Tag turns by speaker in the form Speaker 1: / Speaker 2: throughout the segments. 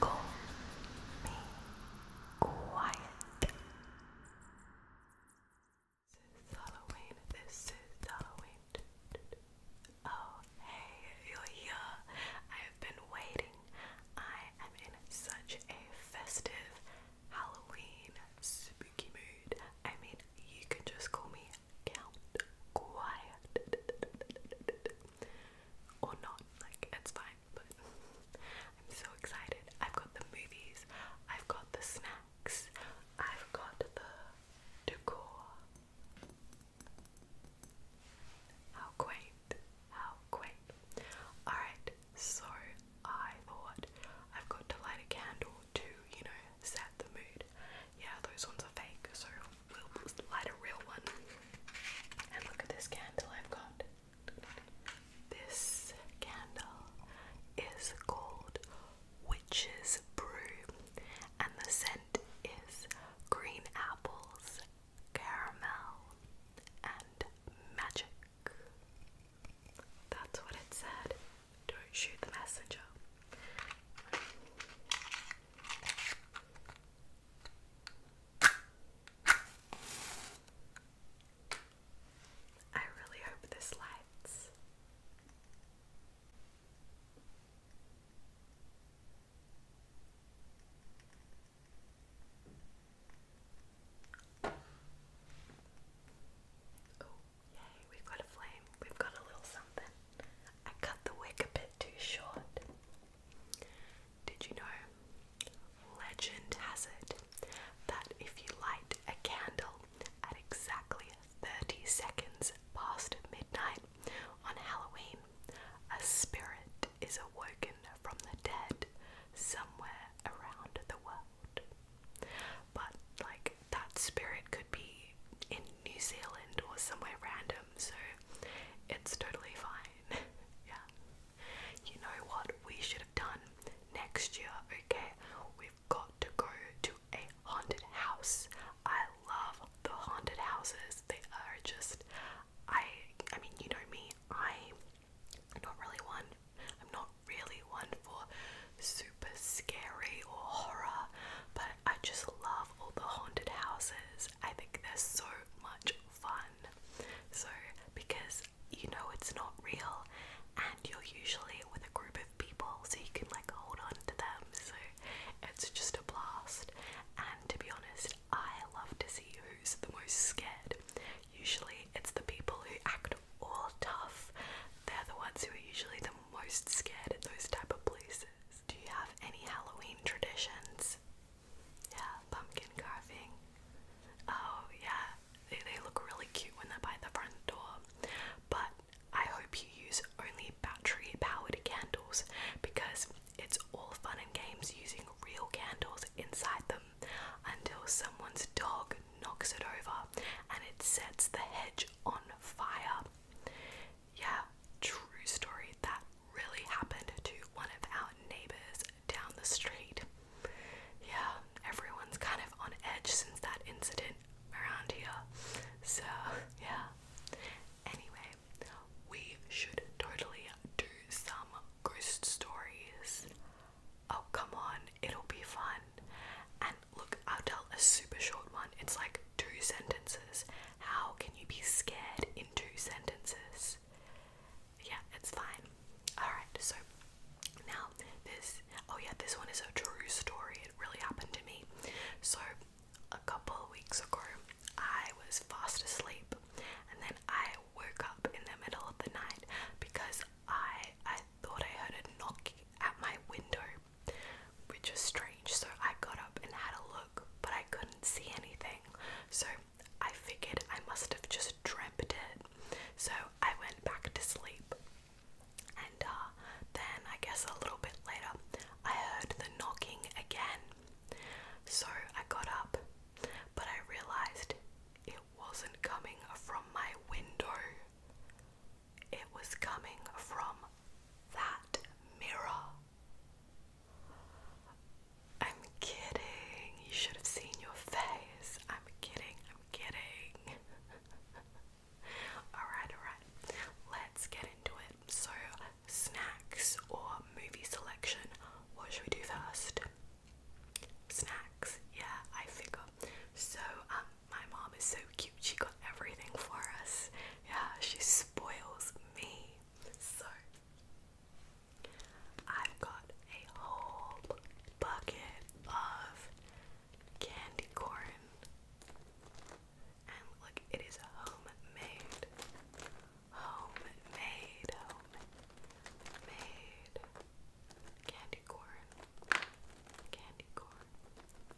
Speaker 1: Call me quiet. This is Halloween. This is Halloween. Oh, hey, you're here. I have been waiting. I am in such a festive Halloween spooky mood. I mean, you can just call me count quiet or not, like it's fine, but I'm so excited. I've got the movies, I've got the snacks, I've got the decor. How quaint, how quaint. Alright, so I thought I've got to light a candle to, you know, set the mood. Yeah, those ones are fake, so we'll light a real one. And look at this candle I've got. This candle is called Witch's Brew, and the scent is green apples, caramel, and magic. That's what it said. Don't shoot the messenger. I really hope this lights. Oh, yay, we've got a flame. We've got a little something. I cut the wick a bit too short. Did you know? Legend has it that if you light a candle at exactly 30 seconds past midnight on Halloween, a spirit is awoken from the dead somewhere around the world. But, like, that spirit could be in New Zealand or somewhere random, so it's totally fine. yeah. You know what we should have done next year, okay? We've got to go to a haunted house. I love the haunted houses. They are just I I mean, you know me. I am not really one. I'm not really one for super scary or horror, but I just love all the haunted houses. I think they're so much fun. So, because you know it's not real and you're usually with a group of people, so you can like hold on to them. So, it's just a blast. And to be honest, I love to see who's the most scared. Usually, it's the people who act all tough. They're the ones who are usually the most scared at those type of places. Do you have any Halloween traditions? Yeah, pumpkin carving. Oh, yeah, they, they look really cute when they're by the front door. But I hope you use only battery powered candles because it's all fun and games using real candles inside them until someone's dog knocks it over and it sets the hedge on fire. Yeah, true story. That really happened to one of our neighbors down the street. Yeah, everyone's kind of on edge since that incident around here. So, yeah. Anyway, we should totally do some ghost stories. Oh, come on, it'll be fun look, I'll tell a super short one. It's like two sentences. How can you be scared in two sentences? Yeah, it's fine. Alright, so now this oh yeah, this one is a true story. It really happened to me. So a couple of weeks ago I was fast asleep and then I woke up in the middle of the night because I I thought I heard a knock at my window which was strange. So I got up and had a look, but I couldn't see anything. So I figured I must have just dreamt it. So I went back to sleep. And uh, then, I guess a little bit later, I heard the knocking again. So I got up, but I realised it wasn't coming from my window. It was coming from that mirror. I'm kidding. You should have seen your face. I'm kidding. I'm kidding. alright, alright. Let's get into it. So, snacks or movie selection? What should we do first? Snacks. Yeah, I figure. So, um, my mom is so cute. She got everything for us. Yeah, she spoils me. So, I've got a whole bucket of candy corn. And look, it is homemade. Homemade, homemade. Candy corn. Candy corn.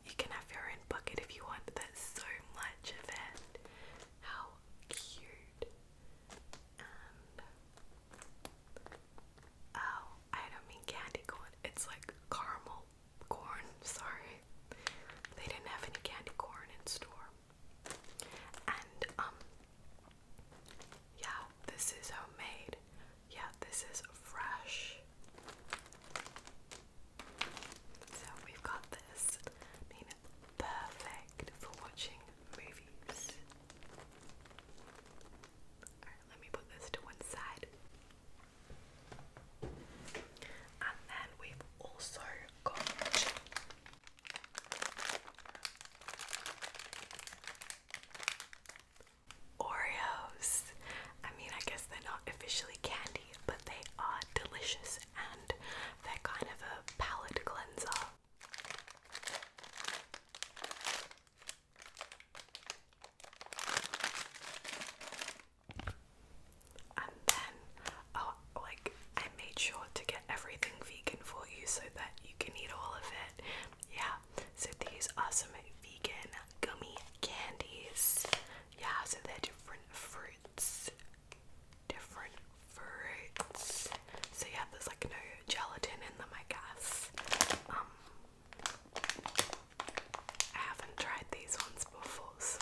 Speaker 1: You can have your own bucket if you want. There's so much of it. How cute. oh, I don't mean candy corn. It's like caramel corn. Sorry, they didn't have any candy corn in store. And um, yeah, this is homemade. Yeah, this is fresh. So we've got this. perfect for watching movies. Alright, let me put this to one side. And then we've also got. Oreos. I mean, I guess they're not officially candy, but they are delicious and they're kind of a palate cleanser. And then, oh, like, I made sure to get everything vegan for you so that you can eat all of it. Yeah, so these awesome vegan gummy candies. Yeah, so they're different fruits. Different fruits. So yeah, there's like no gelatin in them, I guess. Um, I haven't tried these ones before, so.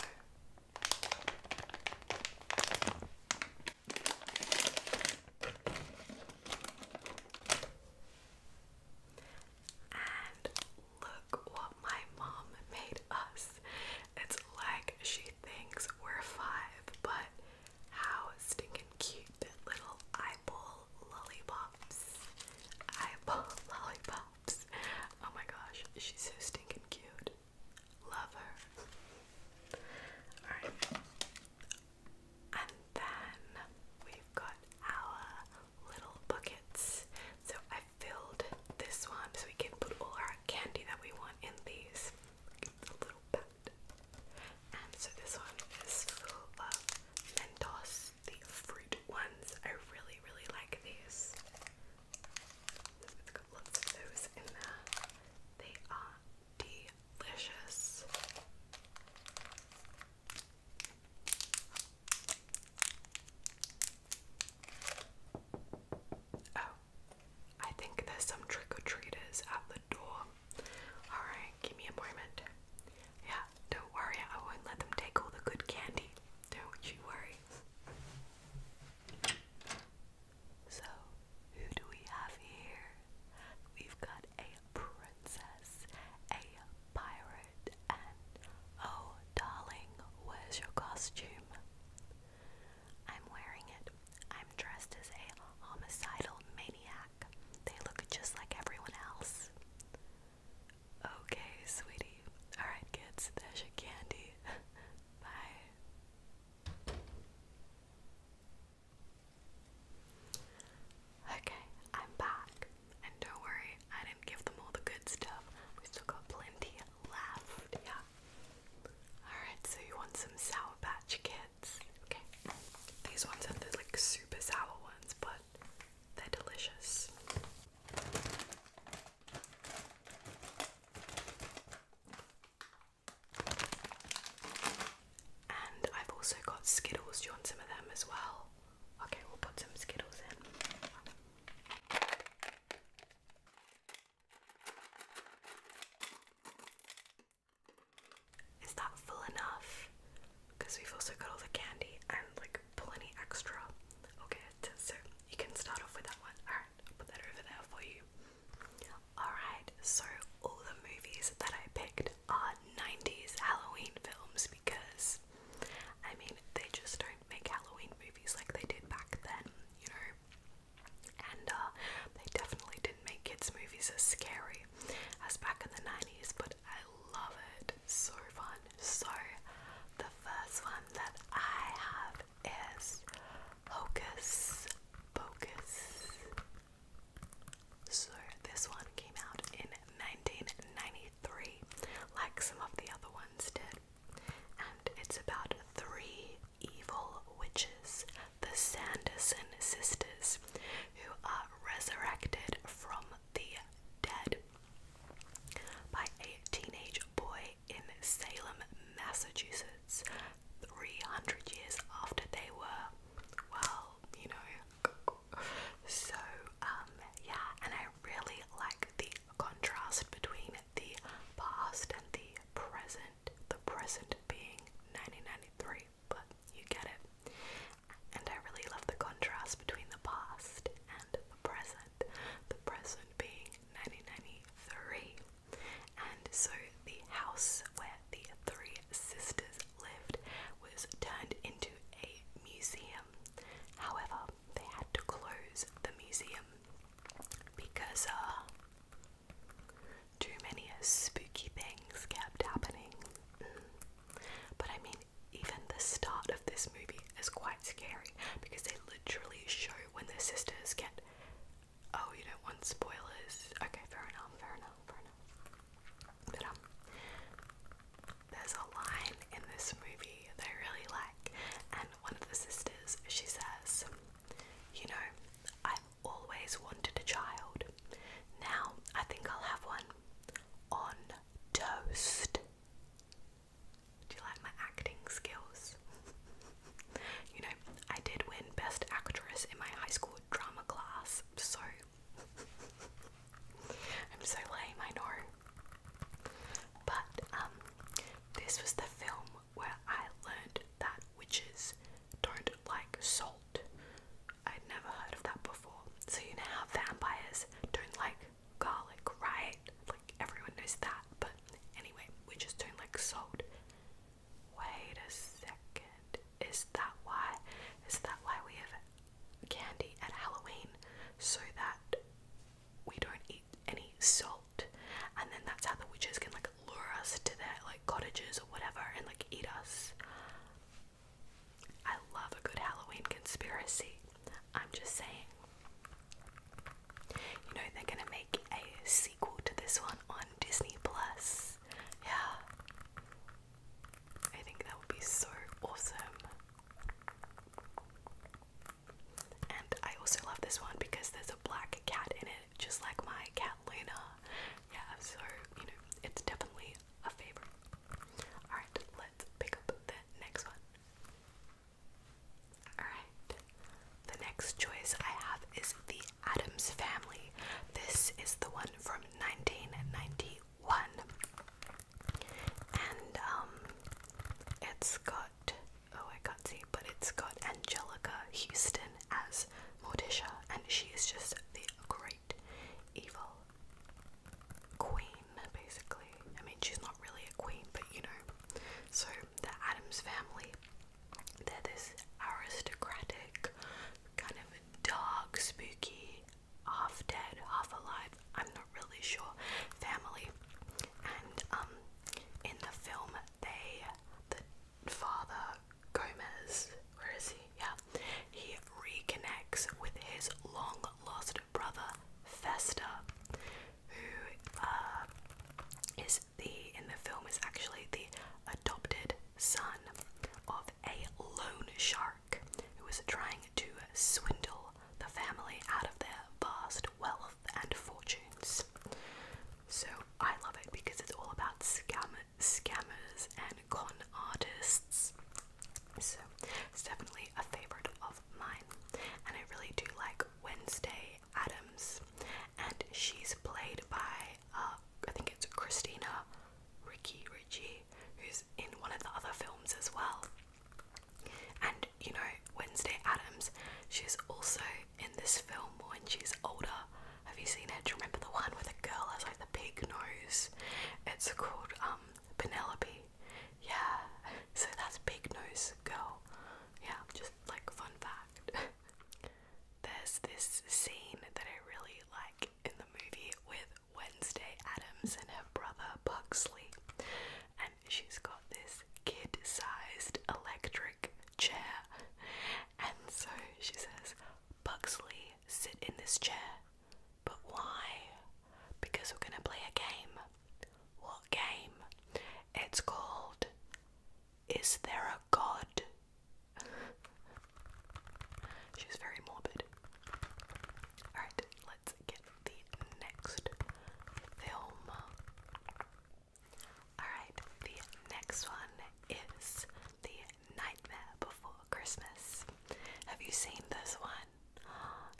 Speaker 1: And look what my mom made us. It's like she thinks we're five, but how stinking cute little eyeball lollipops. Eyeball lollipops. Oh my gosh, she's so stinking cute. Love her. Alright. And then we've got our little buckets. So I filled this one so we can put all our candy that we want in these. And so this one is full of Mentos, the fruit ones. I really, really like these. It's those in there. They are delicious. Oh, I think there's some trick or treaters at the door. Alright, give me a moment. Yeah, don't worry, I won't let them take all the good candy. Don't you worry. So, who do we have here? We've got a princess, a pirate oh darling, where's your costume? I'm wearing it. I'm dressed as a homicidal maniac. They look just like everyone else. Okay, sweetie. Alright, kids, there's your candy. Bye. Okay, I'm back. And don't worry, I didn't give them all the good stuff. We still got plenty left. Yeah. Alright, so you want some Sour Patch Kids. Okay. These ones are the like super sour ones, but they're delicious. And I've also got Skittles. Do you want some of them as well? Okay, we'll put some Skittles in. Is that full enough? Because we've also got all the candy and like plenty extra. Okay, so you can start off with that one. Alright, I'll put that over there for you. Alright, so all the movies that I picked are 90s Halloween films because I mean they just don't make Halloween movies like they did back then, you know. And uh, they definitely didn't make kids' movies as scary as back in the 90s, but I love it. So fun. So, the first one that I have is Hocus Pocus. So, this one came out in 1993, like some of the other ones ones And it's about three evil witches, the Sanderson sisters, who are resurrected from the dead by a teenage boy in Salem, Massachusetts, 300 years after they were, well, you know. So, um, yeah, and I really like the contrast between the past and the present, the present being 1993, but you get it. And I really love the contrast between the past and the present, the present being 1993. And so the house where the three sisters lived was turned into a museum. However, they had to close the museum because uh, too many spooky things kept happening. Mm. But I mean, even the start of this movie is quite scary because they literally show when the sisters get. Oh, you don't want spoilers. Okay, fair enough, fair enough, fair enough. Um, there's a line in this movie that I really like, and one of the sisters, she says, You know, I've always wanted a child. Now I think I'll have one. On toast. Do you like my acting skills? you know, I did win Best Actress in my high school drama class, so I'm so lame, I But um, this was the film where I learned that witches don't like salt. I'd never heard of that before. So you know how vampires don't like garlic, right? Like everyone knows that. But anyway, witches don't like salt. Wait a second. Is that why? Is that why we have candy at Halloween? So that we don't eat any salt and then that's how the witches can like lure us to their like cottages or whatever and like eat us i love a good halloween conspiracy i'm just saying you know they're gonna make a sequel to this one on disney plus yeah i think that would be so awesome and I also love this one because there's a black cat in it, just like my cat Luna. Yeah, so, you know, it's definitely a favorite. Alright, let's pick up the next one. Alright, the next choice I have is The Adams Family. This is the one from 1991 and um, it's got oh I can't see, but it's got Angelica Houston as Morticia, and she is just the great evil queen, basically. I mean, she's not really a queen, but you know. So the Adams family, they're this aristocratic, kind of dark, spooky half dead, half alive, I'm not really sure, family. And um in the film they the father Gomez, where is he? Yeah. He reconnects with his long lost brother Festa, who uh is the in the film is actually the adopted son of a loan shark who was trying to swindle the family out of their vast wealth and fortunes. So I love it because it's all about scam scammers and con artists. So it's definitely a favorite of mine. And I really do like Wednesday Adams. And she's played by uh, I think it's Christina Ricky Ritchie, who's in one of the other films as well. And you know, Wednesday Adams, she's also in this film when she's older. Have you seen it? Do remember the one where the girl has like the pig nose? It's called um Penelope. Yeah. So that's pig Nose Girl. Yeah, just like fun fact. There's this scene that I really like in the movie with Wednesday Adams and her brother Buxley, and she's got this kid sized electric chair. And so she says, Buxley, sit in this chair. But why? Because we're gonna play a game. What game? It's called Is There a God? She's very morbid. Alright, let's get the next film. Alright, the next one is The Nightmare Before Christmas. Have you seen this one?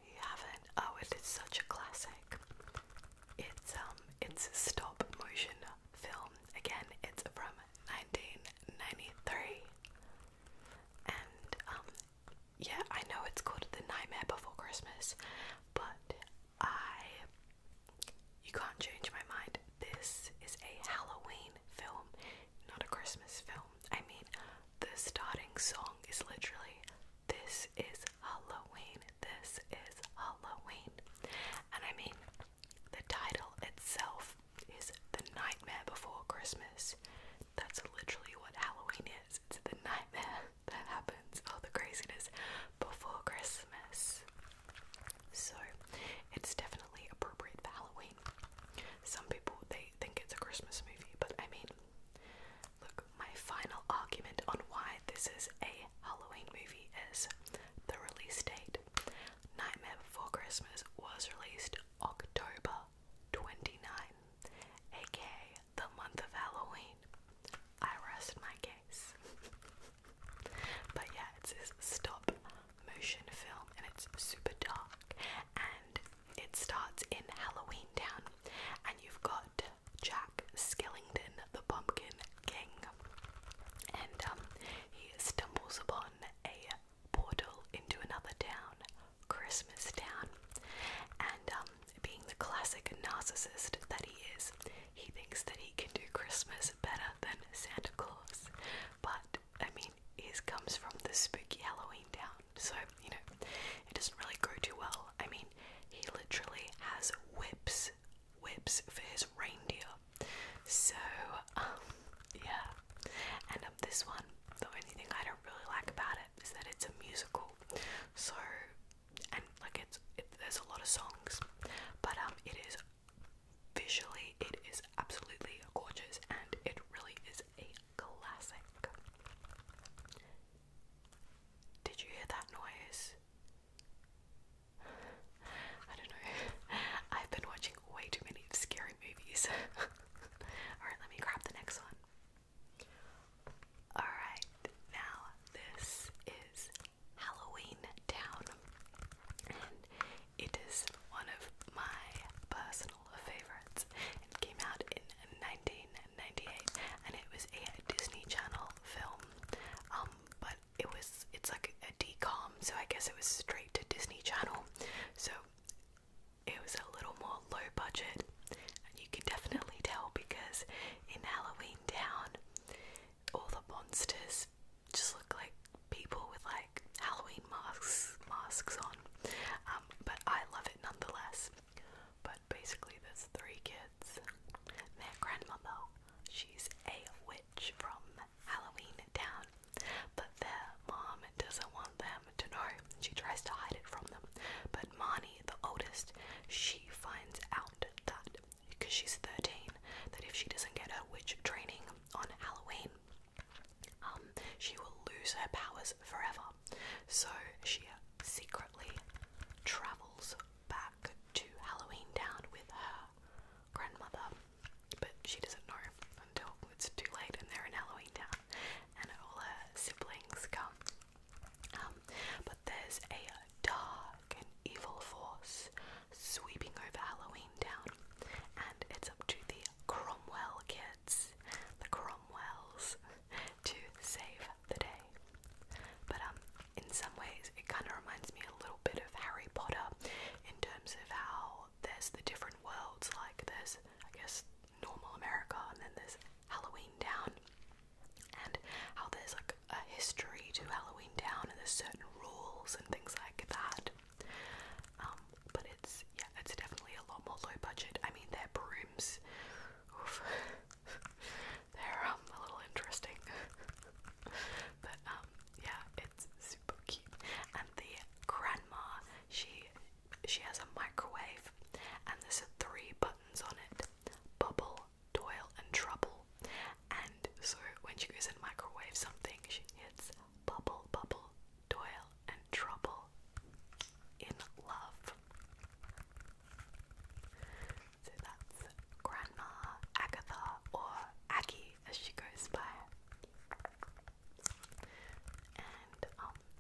Speaker 1: You haven't? Oh, it is such a classic. It's um it's a stop motion film. Again, it's from 1993. And um yeah, I know it's called The Nightmare Before Christmas, but I. You can't change my mind. This is a Halloween film, not a Christmas film. I mean, the starting song is literally This is Halloween, this is Halloween. And I mean, the title itself is The Nightmare Before Christmas that's literally what Halloween is. It's the nightmare that happens, all oh, the craziness before Christmas. So it's definitely appropriate for Halloween. Some people they think it's a Christmas movie, but I mean look, my final argument on why this is a Halloween movie is the release date. Nightmare Before Christmas was released October 29, aka the month of Halloween. I rest my case. but yeah, it's this stop motion film and it's super dark and it starts in Halloween Town and you've got Jack Skellington, the Pumpkin King, and um, he stumbles upon a portal into another town Christmas town, And um, being the classic narcissist that he is, he thinks that he can do Christmas better than Santa Claus. But I mean, he comes from the spooky Halloween town, so you know, it doesn't really go too well. I mean, he literally has whips, whips for his reindeer. So, um, yeah. And um, this one, the only thing I don't really like about it is that it's a musical, so and like it's there's a lot of songs, but um, it is visually it is absolutely gorgeous and it really is a classic. Did you hear that noise? I don't know. I've been watching way too many scary movies. Alright, let me grab the next one. Alright, now this is Halloween Town, and it is one of my personal favorites. It came out in 1998, and it was a Disney Channel film. Um, but it was it's like a D com, so I guess it was straight to Disney Channel. So it was a little more low budget, and you can definitely tell because in Halloween Town, all the monsters just look like people with like Halloween masks masks on. Um, but I love it nonetheless. But basically, there's three kids. Their grandmother, she's a witch from Halloween Town, but their mom doesn't want them to know. She tries to hide it from them. But Marnie, the oldest, she finds out that, because she's 13, that if she doesn't get her witch training on Halloween, um, she will lose her powers forever. So she secretly travels back to Halloween Town with her grandmother, but she doesn't know until it's too late and they're in Halloween Town and all her siblings come. Um, but there's a dark and evil force sweeping over Halloween Town, and it's up to the Cromwell kids, the Cromwells, to save the day. But um, in some ways, it kind of reminds me a little bit of Harry Potter in terms of how there's the different worlds. Like there's, I guess, normal America and then there's Halloween Town and how there's like a history to Halloween Town and there's certain rules and things like that. Um, but it's yeah, it's definitely a lot more low budget. I mean their brooms they're um a little interesting. but um yeah, it's super cute. And the grandma, she she has a microwave, and there's three buttons on it bubble, toil, and trouble. And so when she goes and microwave something, she hits bubble, bubble, toil, and trouble in love. So that's Grandma Agatha or Aggie as she goes by and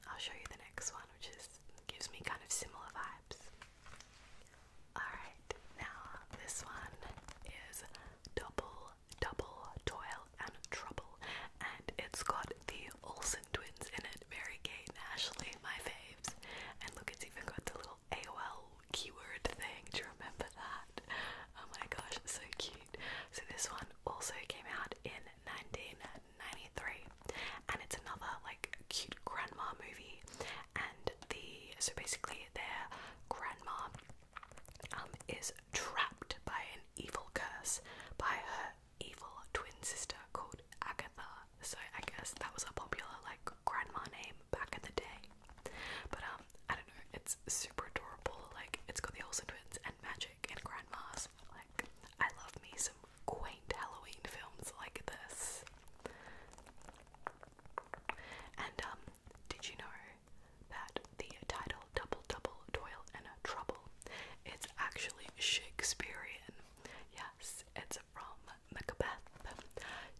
Speaker 1: I'll show you the next one, which is gives me kind of similar vibes. Alright, now this one is Double Double Toil and Trouble, and it's got the Olsen twins in it, Mary Kate and Ashley, my faves. And look, it's even got the little AOL keyword thing. Do you remember that? Oh my gosh, so cute. So this one also came out in 19 1993, and it's another like cute grandma movie. And the so basically their grandma um, is trapped by an evil curse by her evil twin sister called Agatha. So I guess that was a popular like grandma name back in the day. But um, I don't know. It's super adorable. Like it's got the Olsen twins and magic and grandmas like I love me some quaint Halloween films like this. And um, did you know that the title Double Double Toil and Trouble it's actually Shakespearean. Yes, it's from Macbeth.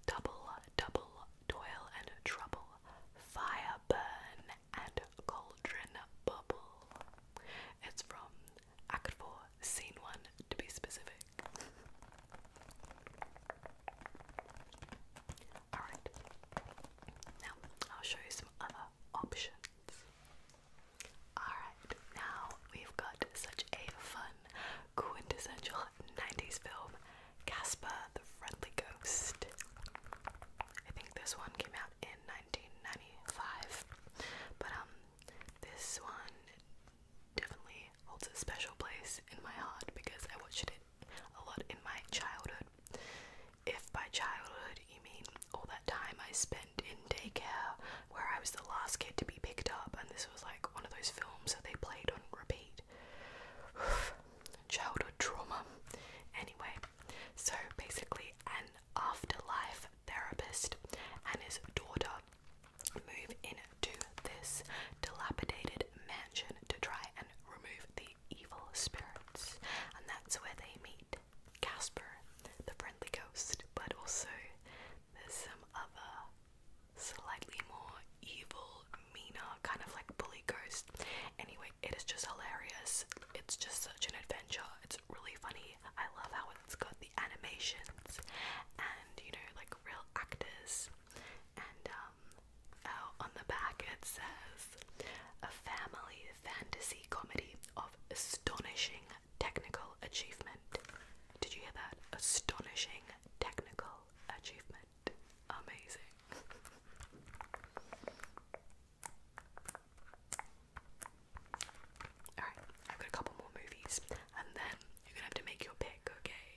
Speaker 1: Double double toil and trouble. Fire burn and cauldron bubble. It's from Act 4, Scene 1 to be specific. Alright, now I'll show you some other options. Alright, now we've got such a fun, quintessential film, Casper the Friendly Ghost. I think this one came out in 1995. But um, this one definitely holds a special place in my heart because I watched it a lot in my childhood. If by childhood you mean all that time I spent in daycare where I was the last kid to be picked up, and this was like one of those films that they played on repeat. Childhood trauma. Anyway, so basically, an afterlife therapist and his daughter move into this dilapidated mansion to try and remove the evil spirits. And that's where they meet Casper, the friendly ghost, but also there's some other slightly more evil, meaner, kind of like bully ghost. Anyway, it is just hilarious. It's just such an adventure. It's really funny. I love how it's got the animations and you know like real actors and um oh, on the back it says a family fantasy comedy of astonishing technical achievement. Did you hear that? Astonishing technical achievement. Amazing. Alright, I've got a couple more movies and then you're gonna have to make your pick, okay?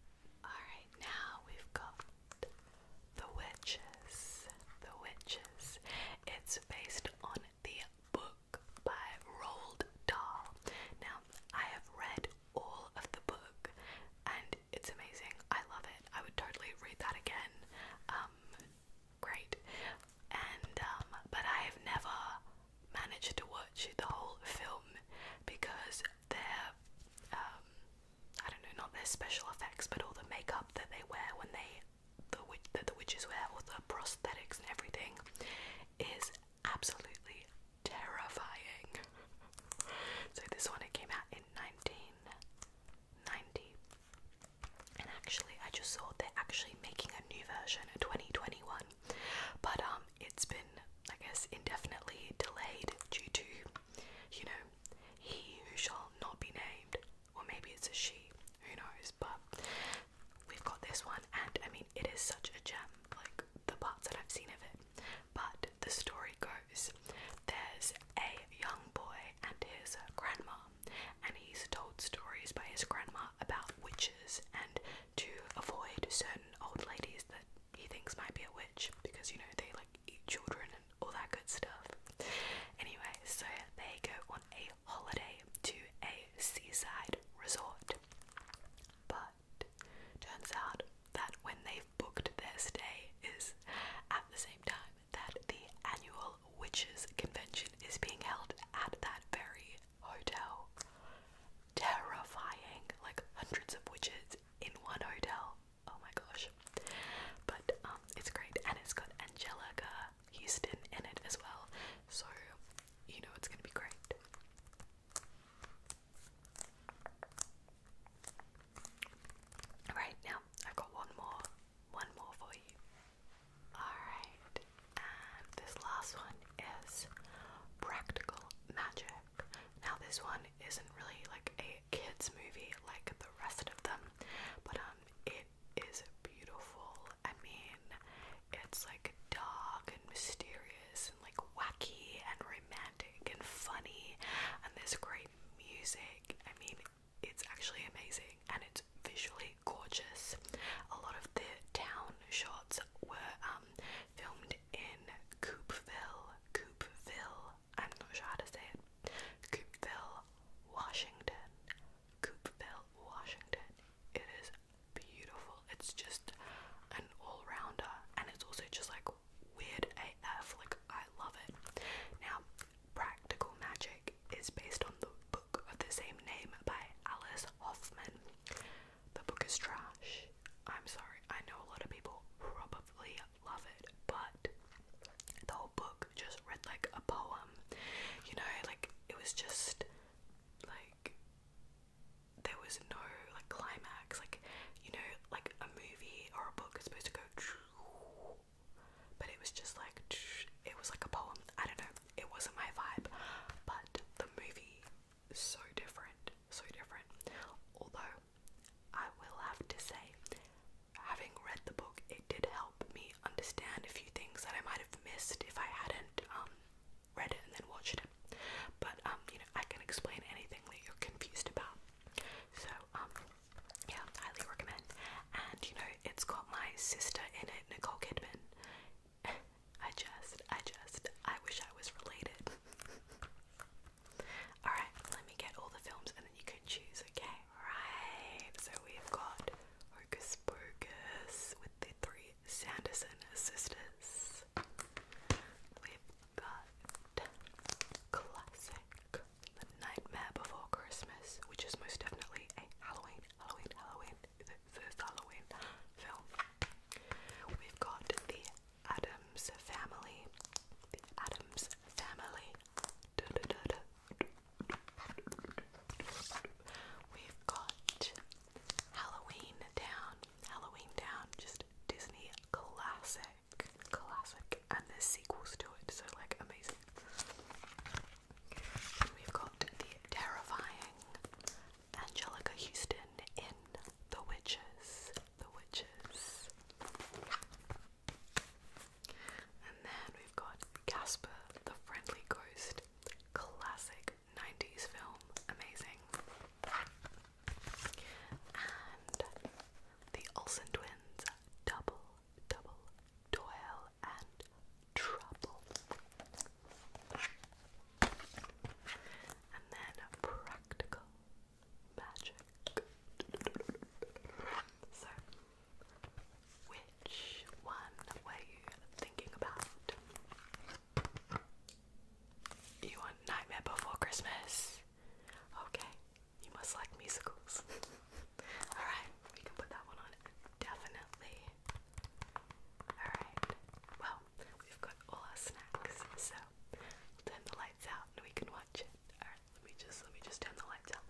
Speaker 1: Alright, now we've got The Witches. The Witches. It's based on the book by Roald Dahl. Now, I have read all of the book and it's amazing. I love it. I would totally read that again. Um, great. And um, but I have never managed to watch the whole film because their um, I don't know, not their special effects, but all the makeup that they wear when they the witch that the witches wear, all the prosthetics and everything, is absolutely terrifying. so this one it came out in nineteen ninety and actually I just saw they're actually making a new version in 2021 but um it's been I guess indefinitely delayed due to you know he who shall not be named or maybe it's a she who knows but we've got this one and I mean it is such a gem like the parts that I've seen of it but the story goes there's a young boy and his grandma and he's told stories by his grandma about witches and to avoid certain old ladies that he thinks might be a witch because you know they like eat children and all that good stuff. Anyway, so they go on a holiday to a seaside resort. But turns out that when they've booked their stay is at the same time that the annual Witches Convention is being held at that very hotel. Terrifying, like hundreds of witches in one hotel. Oh my gosh. But um, it's great, and it's got Angelica Houston in it as well, so you know it's gonna be great. Right now, I've got one more one more for you. Alright, this last one is Practical Magic. Now, this one isn't really like a kids' movie like the rest of them, but um, it is beautiful. I mean, it's like dark and mysterious and like wacky and romantic and funny, and there's great music. I mean, it's actually amazing and it's visually gorgeous. A lot of the town shots were um, filmed in Coopville, Coopville, I'm not sure how to say it, Coopville, Washington, Coopville, Washington. It is beautiful. It's just an all rounder and it's also just like weird AF. Like, I love it. Now, Practical Magic is based on the book of the same name by Alice Hoffman. The book is trash. I'm sorry, I know a lot of people probably love it, but the whole book just read like a poem. You know, like it was just like there was no like climax, like you know, like a movie or a book is supposed to go but it was just like it was like a poem. I don't know. It wasn't my vibe, but the movie is so different, so different. Although I will have to say, having read the book, it did help me understand a few things that I might have missed if I hadn't um, read it and then watched it. But um, you know, I can explain anything that you're confused about. So um, yeah, highly recommend. And you know, it's got my sister in it, Nicole Kidman. I just, I just, I wish I was related. Alright, let me get all the films and then you can choose, okay? Alright, so we've got Hocus Pocus with the three Sanderson sisters. We've got Classic the Nightmare Before Christmas, which is most definitely a Halloween, Halloween, Halloween, the first Halloween film. We've got the Adams Family, the Adams Family. Da, da, da, da. We've got Halloween Town, Halloween Town, just Disney classic, classic, and there's sequels to it, so like amazing we've got the terrifying Angelica Houston in The Witches. The Witches. And then we've got Casper, the Friendly Ghost. Classic 90s film. Amazing. And the Olsen twins. Double, double, toil and trouble. And then practical magic. So, which one were you thinking about? You want Nightmare Before Christmas? Okay, you must like musicals. Alright, we can put that one on definitely. Alright, well, we've got all our snacks, so we'll turn the lights out and we can watch it. Alright, let me just let me just turn the lights out.